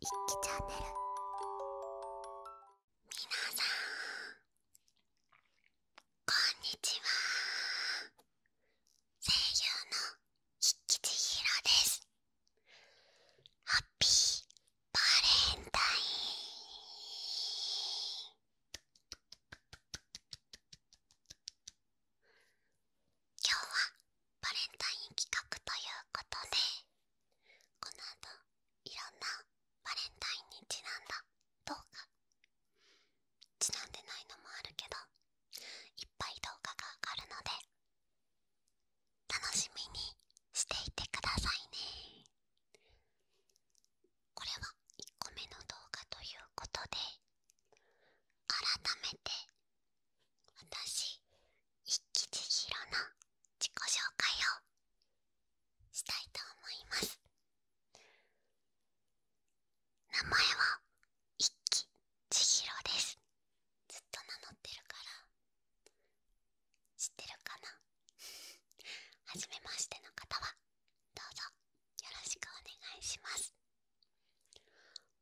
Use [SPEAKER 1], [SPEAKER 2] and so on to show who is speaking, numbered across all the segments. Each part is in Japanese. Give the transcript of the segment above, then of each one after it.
[SPEAKER 1] 一気チャンネル皆さんこんにちは声優の一気千尋ですハッピーバレンタイン今日はバレンタイン企画ということでこの後いろんなバレンタインにちなんだ動画ちなんでないのもあるけどいっぱい動画が上がるので楽しみにしていてくださいねこれは1個目の動画ということで改めて私一気千尋の自己紹介をしたいと思います名前は一気千尋ですずっと名乗ってるから知ってるかな 初めましての方はどうぞよろしくお願いします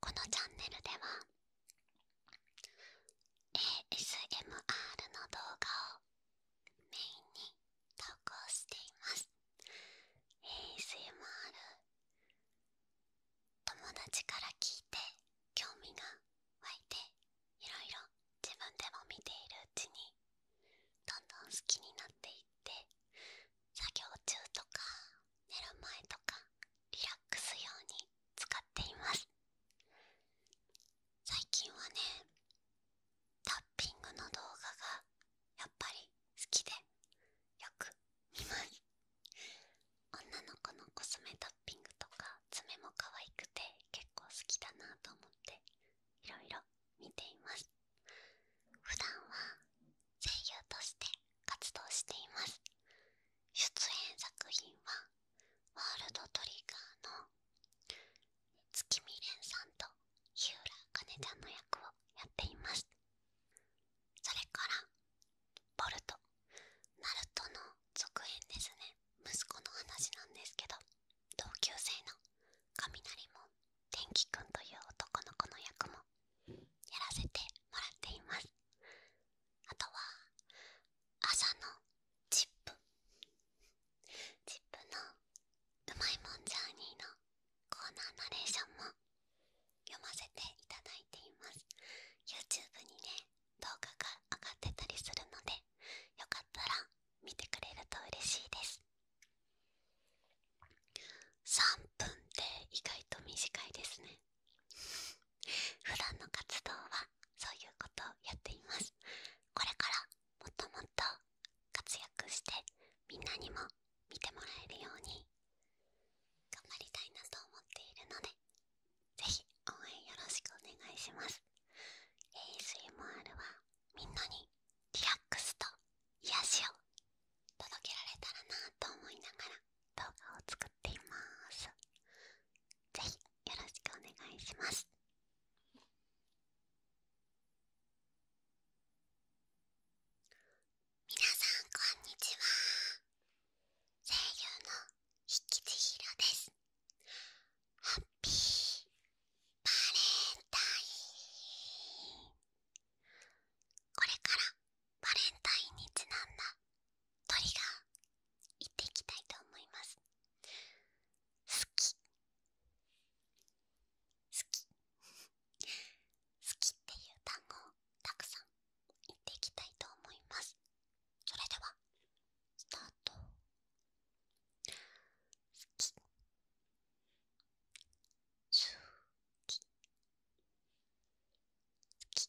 [SPEAKER 1] このチャンネルでは ASMR の動画をメインに投稿しています。ASMR 友達から聞いて興味が湧いていろいろ自分でも見ているうちにどんどん好きになっていって作業中とか寝る前とかリラックス用に使っています最近はねタッピングの動画がやっぱり好きでよく見ます女の子のコスメタッピングとか爪も可愛くて結構好きだなと思っていろいろ見ています普段は声優として活動しています出演作品はワールドトリガーの月見蓮さんと日浦かねちゃんの役をやっていますそれからボルトナルトの続編ですね息子の話なんですけど同級生の雷も天気くんという男の子の役もやらせてもらっていますあとは朝のチップチップのうまいもんジャーニーのコーナーナレーションも読ませていただいています YouTube にね動画が上がってたりするのでよかったら見てくれると嬉しいです3分って意外と短いですね普段の活動はそういうことをやっていますこれからもっともっと活躍してみんなにも見てもらえるように頑張りたいなと思っているのでぜひ応援よろしくお願いします ASMR はみんなにリラックスと癒しを届けられたらなと思いながら動画を作っていますぜひよろしくお願いしますみなさんこんにちは声優のひきちひろですハッピーバレンタインこれからバレンタインにちなんだ鳥が行っていきたいと思います好き好き好きっていう単語をたくさん言っていきたいと思いますそれではスタート好き好き好き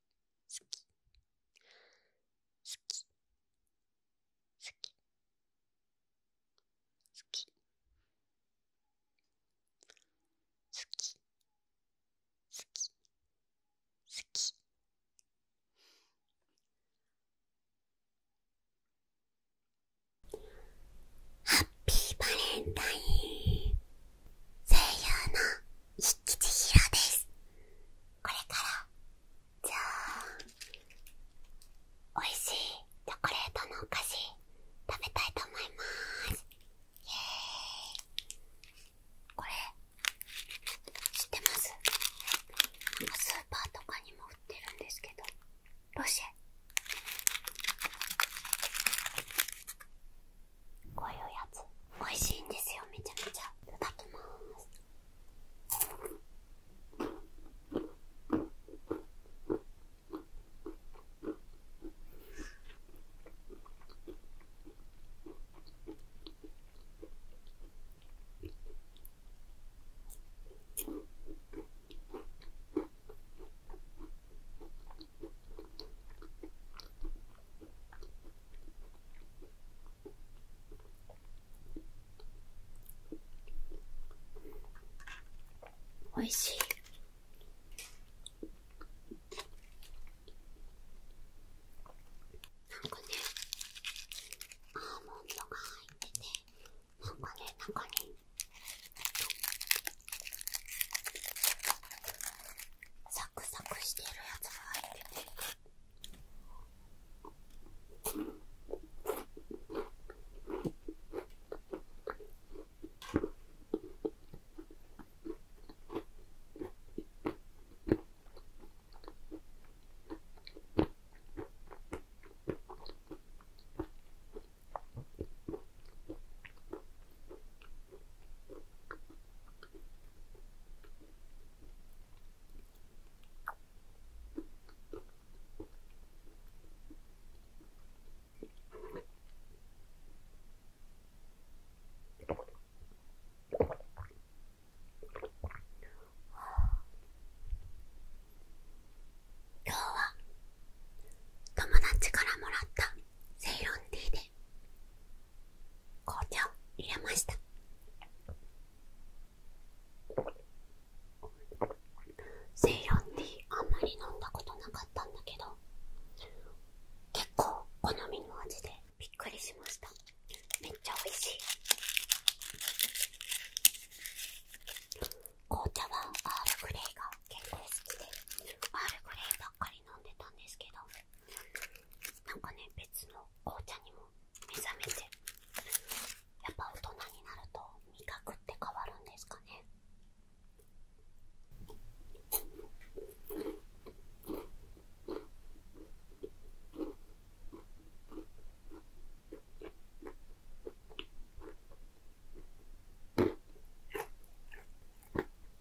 [SPEAKER 1] 好き好き好き好き好き好き好きハッピーバレンタイン声優の一吉ひろです。これから、じゃあ、美味しいチョコレートのお菓子食べたいと思います。イエーイ。これ、知ってますスーパーとかにも売ってるんですけど、ロシェ。こういうやつ美味しいんですよめちゃめちゃいただきますおいしい。なんかね、アーモンドが入ってて、なんかね、なんかね。サクサクしてるやつが入ってて。今日は友達からもらったセイロンティーで紅茶を入れましたセイロンティーあんまり飲んだことなかったんだけど結構好みの味でびっくりしましためっちゃ美味しい紅茶はアールグレイが結構好きでアールグレイばっかり飲んでたんですけどなんかね別の紅茶にも目覚めてやっぱ大人になると味覚って変わるんですかね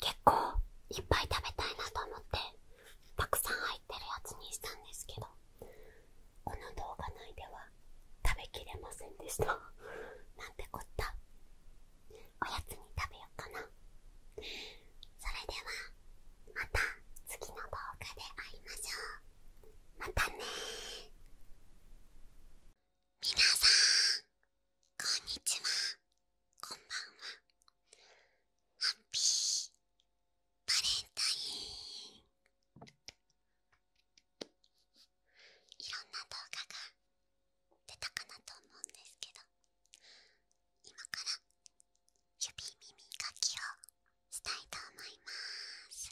[SPEAKER 1] 結構いっぱい食べたいなと思ってたくさん入ってるやつにしたんですけどこの動画内では食べきれませんでした なんてこったおやつに食べようかなそれではまた次の動画で会いましょうまたねみなさんこんにちはこんばんはハッピーバレンタインいろんな動画が出たかなと思うんですけど今から指耳かきをしたいと思います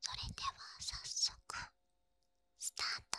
[SPEAKER 1] それでは早速スタート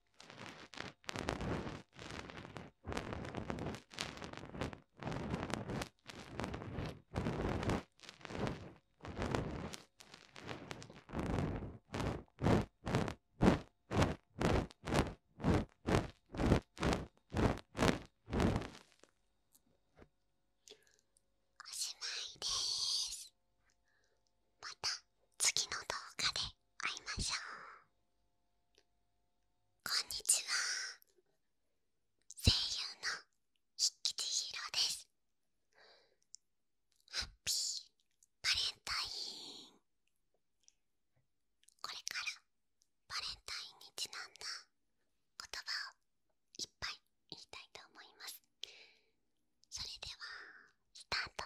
[SPEAKER 1] おしまいですまた次の動画で会いましょうこんにちは声優の筆吉千ですハッピーバレンタインこれからバレンタインにちなんだ言葉をいっぱい言いたいと思いますそれではスタート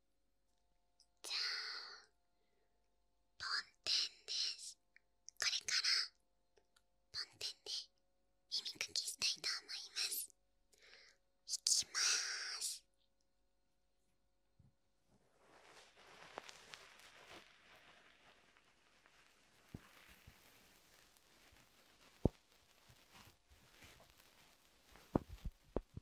[SPEAKER 1] じゃあ梵天ですこれから梵天で耳かきしたいと思いますいきます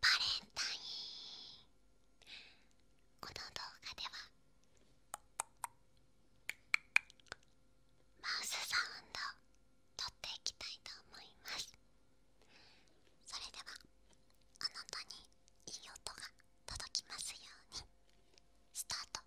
[SPEAKER 1] バレンタインこの動画ではマウスサウンドを撮っていきたいと思いますそれではあなたにいい音が届きますようにスタート「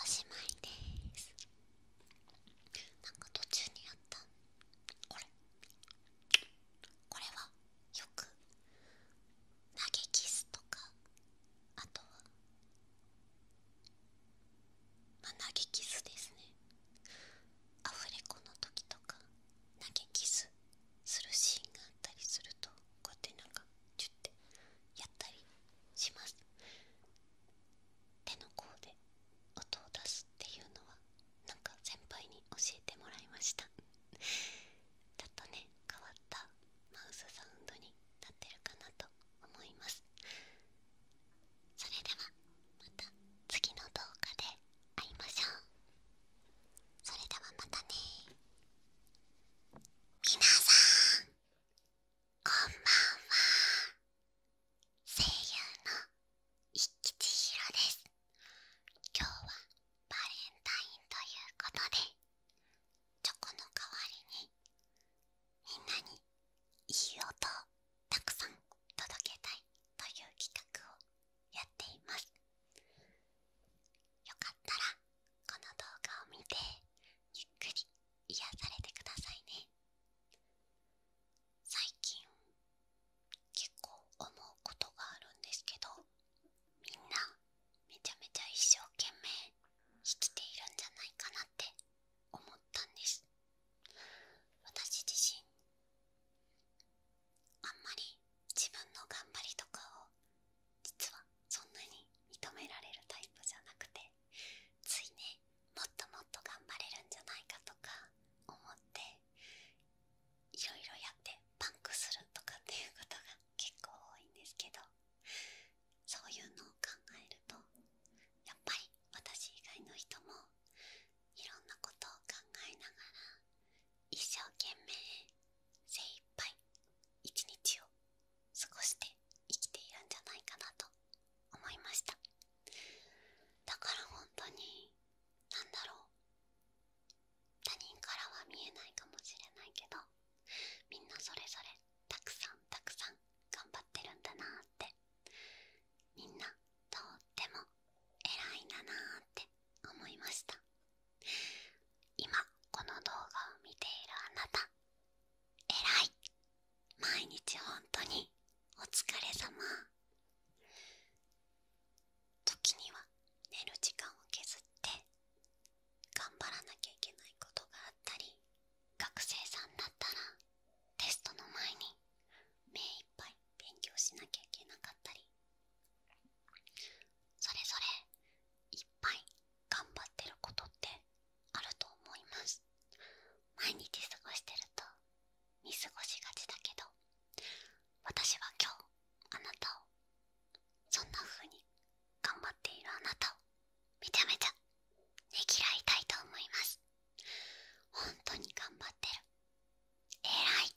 [SPEAKER 1] おしまいですなんか途中にあったこれこれはよく投げキスとかあとはまあ投げキスですねアフレコの時とか投げキスするシーンがあったりするとこうやってなんかチュッてやったりします手の甲で音を出すっていうのはなんか先輩に教えてもらいました ちょっとね変わったマウスサウンドになってるかなと思いますそれではまた次の動画で会いましょうそれではまたねみなさんこんばんは声優の一吉ひろです今日はバレンタインということでチョコの代わりにみんなにいい音をたくさん届けたいという企画をやっていますよかったらこの動画を見てゆっくり癒されてくださいね最近結構思うことがあるんですけどみんなめちゃめちゃ一生懸命生きているんじゃないかなって思ったんです私自身あんまり自分の頑張りとかを実はそんなに認められるタイプじゃなくてついねもっともっと頑張れるんじゃないかとか思っていろいろやってパンクするとかっていうことが結構多いんですけどそういうのを考えるとやっぱり私以外の人もいろんなことを考えながら一生懸命精一杯一日を過ごして生きているんじゃないかなと思いましただから本当に何だろう他人からは見えないかもしれないけどみんなそれぞれたくさんたくさん頑張ってるんだなーってみんなとっても偉いんだなーって思いました今この動画を見ているあなた偉い毎日本当にお疲れ様時には寝る時間を削って頑張らなきゃいけないことがあったり学生さんだったらテストの前に目いっぱい勉強しなきゃいけなかったりそれぞれいっぱい頑張ってることってあると思います毎日過ごしてると見過ごしがちだけど私は今日あなたをそんな風に頑張っているあなたをめちゃめちゃねぎらいたいと思います本当に頑張ってるえらい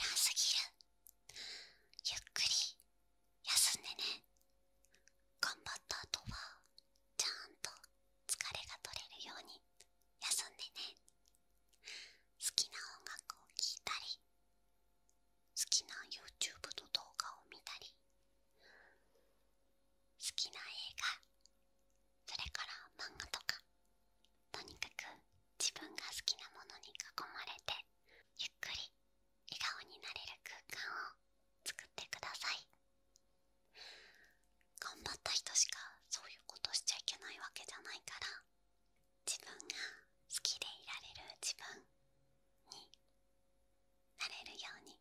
[SPEAKER 1] えらすぎるゆっくり休んでね頑張った後はちゃんと疲れが取れるように休んでね好きな音楽を聴いたり好きな YouTube の動画を見たり好きな映画それから漫画とかとにかく自分が好きなものに囲まれてゆっくり笑顔になれる空間を作ってください頑張った人しかそういうことしちゃいけないわけじゃないから自分が好きでいられる自分になれるように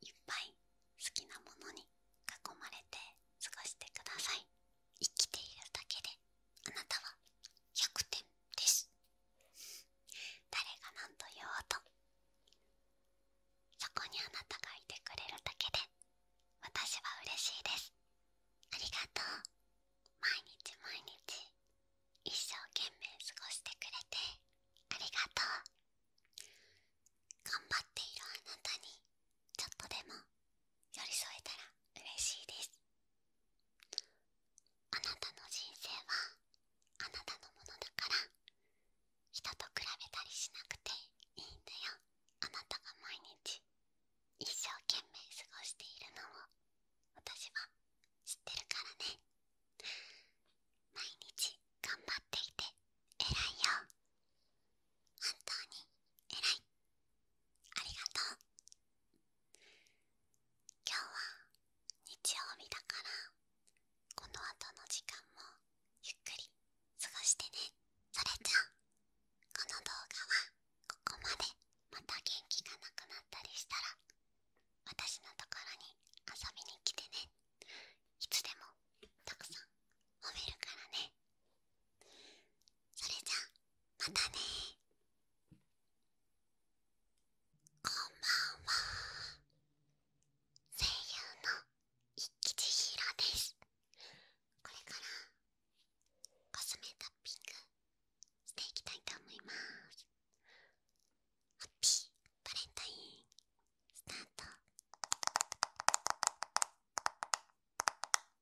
[SPEAKER 1] いっぱい好きなものに囲まれて過ごしてください。生きているだけであなたは100点です誰が何と言おうとそこにあなたがいてくれるだけで私は嬉しいですありがとう毎日毎日一生懸命過ごしてくれてありがとう頑張っているあなたにちょっとでも寄り添えたら嬉しいですあなたの人生はあなたのものだから人と比べたりしなくていいんだよあなたが毎日一生懸命過ごしているのを私は知ってるからね毎日頑張っていて偉いよ本当に偉いありがとう今日は日曜日だからこの後の時間もゆっくり過ごしてねそれじゃあこの動画はここまでまた元気がなくなったりしたら私のところに遊びに来てねいつでもたくさん褒めるからねそれじゃまたねこんばんは声優の一吉千ですこれからコスメトッピングしていきたいと思いますハッピーバレンタインスタート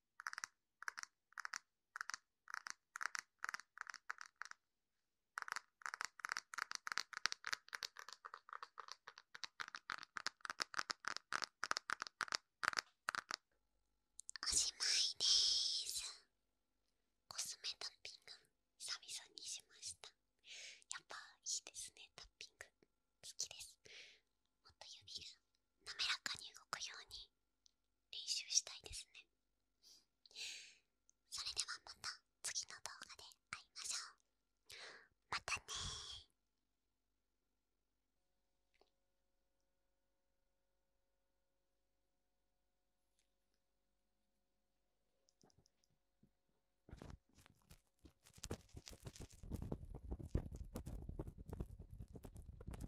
[SPEAKER 1] おしまいですコスメタッピング久々にしましたやっぱいいですねタッピング好きですもっと指が滑らかに動くように練習したいですねそれではまた次の動画で会いましょうまたねー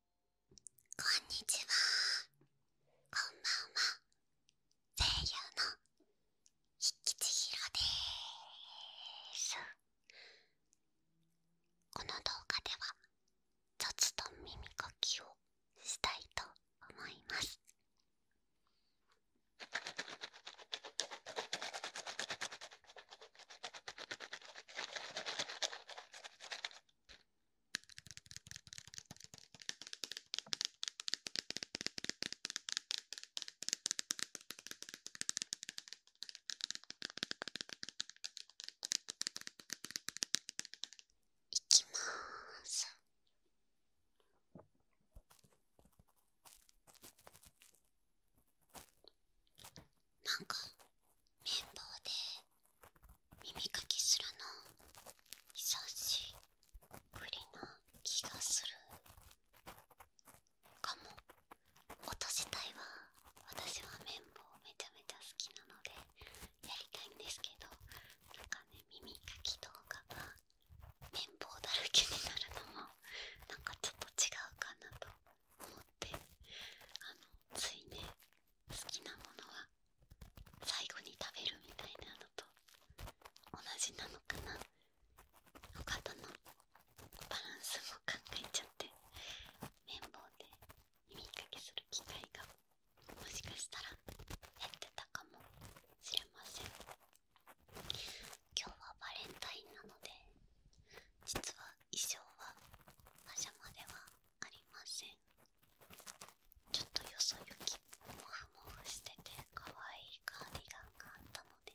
[SPEAKER 1] こんにちはこんばんは声優のひきちひろですこの動画では雑と耳かきをしたいと思いますいきまーす。なんか綿棒で耳かきするの久しぶりな気がするかも音自体は私は綿棒めちゃめちゃ好きなのでやりたいんですけどなんかね耳かき動画が綿棒だらけになるのもなんかちょっと違うかなと思ってあのついね好きなものは最後に食べるみたいなのと同じなのかなお方のバランスも考えちゃって綿棒で耳かけする機会がもしかしたら減ってたかもしれません今日はバレンタインなので実は衣装はパジャマではありませんちょっとよそ行きもはもはしてて可愛いカーディガンがあったので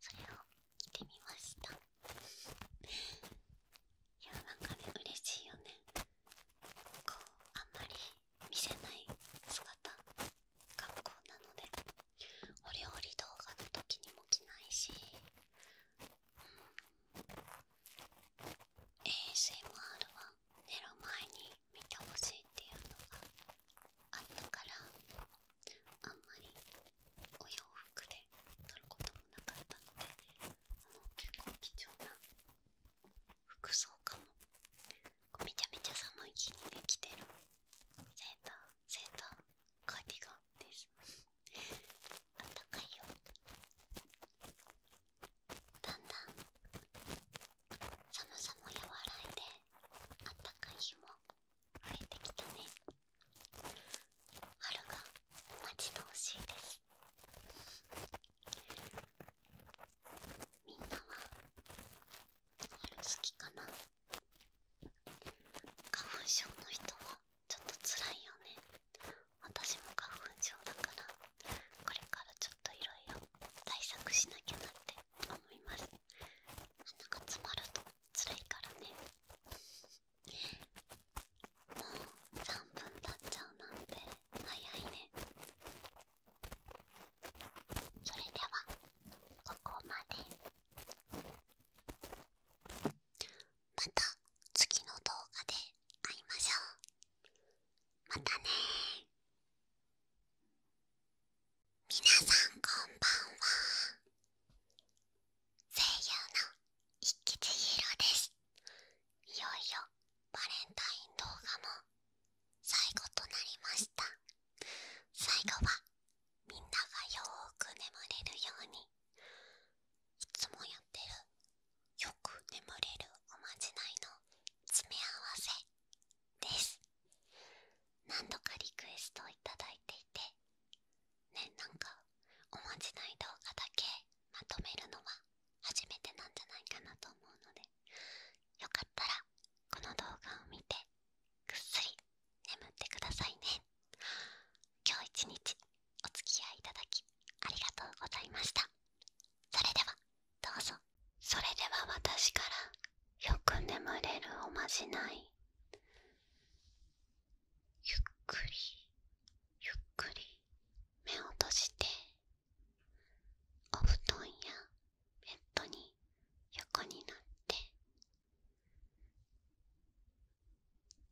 [SPEAKER 1] それを着てみましたいやなんかね嬉しいよねこうあんまり見せない姿格好なのでお料理動画の時にも着ないし、うん、ASMR は寝る前に見てほしいっていうのがあったからあんまりお洋服で撮ることもなかったのでもう結構貴重な服装かもめちゃめちゃ寒い日にできてるセーターセーターカーディガンですあったかいよだんだん寒さも和らいであったかい日も増えてきたね春が待ち遠しいですみんなは春好きかな花粉症の人はちょっと辛いよね私も花粉症だからこれからちょっといろいろ対策しなきゃなって思います鼻が詰まると辛いからねもう3分経っちゃうなんて早いねそれではここまで。また次の動画で会いましょう。またねー。皆さんこんばんは。声優の一吉千尋です。いよいよバレンタイン動画も最後となりました。最後はみんながよーく眠れるようにいつもやってるよく眠れるおまじないの詰め合わせです何度かリクエストをいただいていてねなんかおまじない動画だけまとめるのは初めてなんじゃないかなと思うのでよかったらこの動画を見てぐっすり眠ってくださいね今日一日お付き合いいただきありがとうございましたそれではどうぞそれでは私からよく眠れるおまじないゆっくりゆっくり目を閉じてお布団やベッドに横になって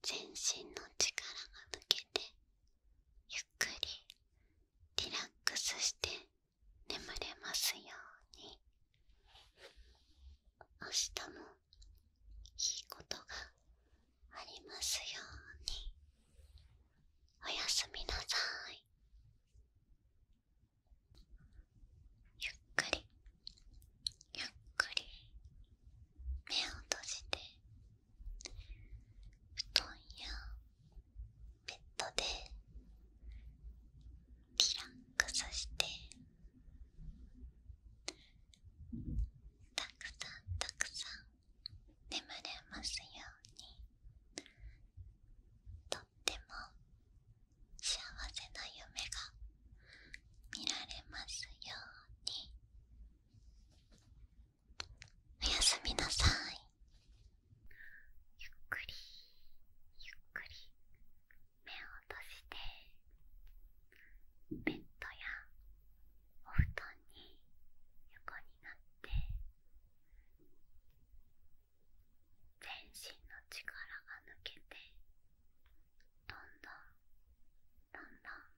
[SPEAKER 1] 全身の力が抜けてゆっくりリラックスして眠れますように明日もいいことがありますようにおやすみなさいゆっくりゆっくり目を閉じて布団やベッドでリラックスしてたくさんたくさん眠れますようにとっても幸せな夢が見られますように。おやすみなさいゆっくりゆっくり目を閉じてベッドやお布団に横になって全身の力が抜けてどんどんどんどん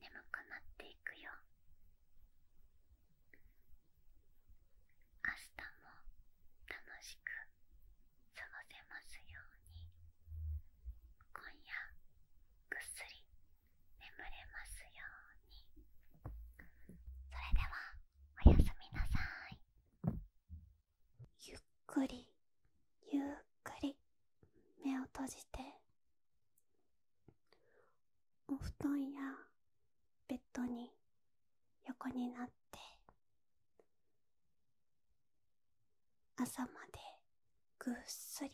[SPEAKER 1] 眠くなっていくよ明日も楽しく過ごせますように今夜ぐっすり眠れますようにそれではおやすみなさいゆっくりゆっくり目を閉じてお布団やベッドに横になって朝までぐっすり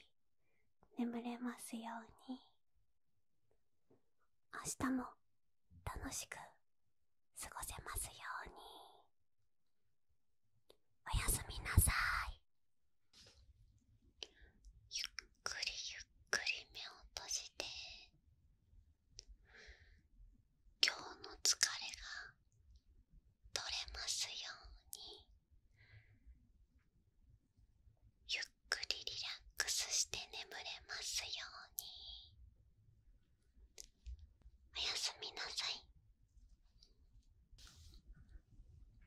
[SPEAKER 1] 眠れますように明日も楽しく過ごせますようにおやすみなさい。ゆっくりゆっくり目を閉じて今日の疲れが取れますようにゆっくりリラックスして眠れますようにおやすみなさい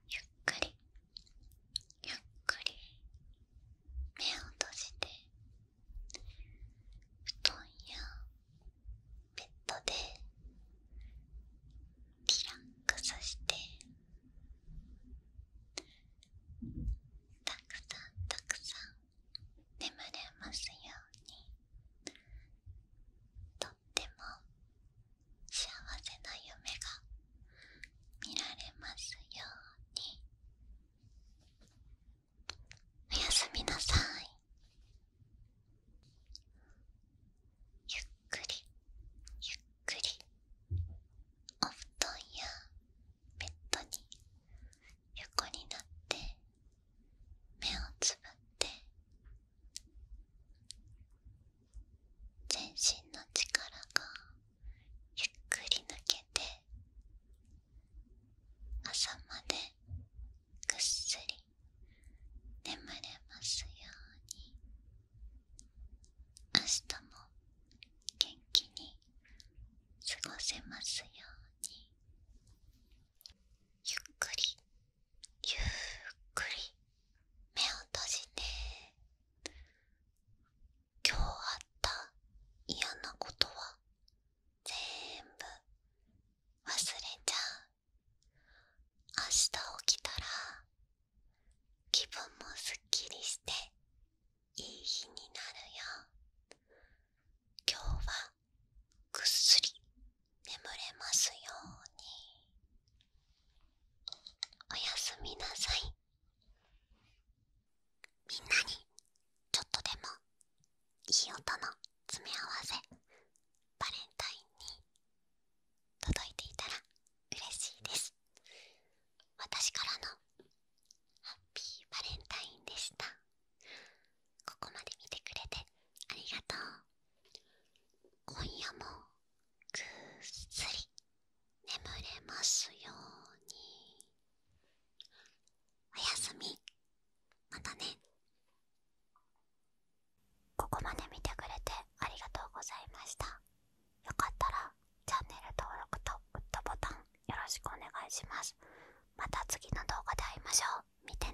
[SPEAKER 1] ゆっくりゆっくり目を閉じて布団やベッドでリラックスしてたくさんたくさん眠れますようにとっても幸せな夢が見られますようにおやすみなさいゆっくりゆっくりお布団やベッドに横になって目をつぶって全身の力がゆっくり抜けて朝までぐっすり眠れますように明日も元気に過ごせますようにゆっくりゆっくり目を閉じて今日あった嫌なことはぜ全部忘れちゃう明日起きたら気分もすっきりしていい日になるよ今日はぐっすり眠れますようにおやすみなさいみんなにちょっとでもいい音の詰め合わせバレンタインに届いていたら嬉しいです私からのハッピーバレンタインでしたここまで見てくれてありがとう今夜もぐっすり眠れますようにおやすみまたねここまで見てくれてありがとうございましたよかったらチャンネル登録とグッドボタンよろしくお願いしますまた次の動画で会いましょう見てね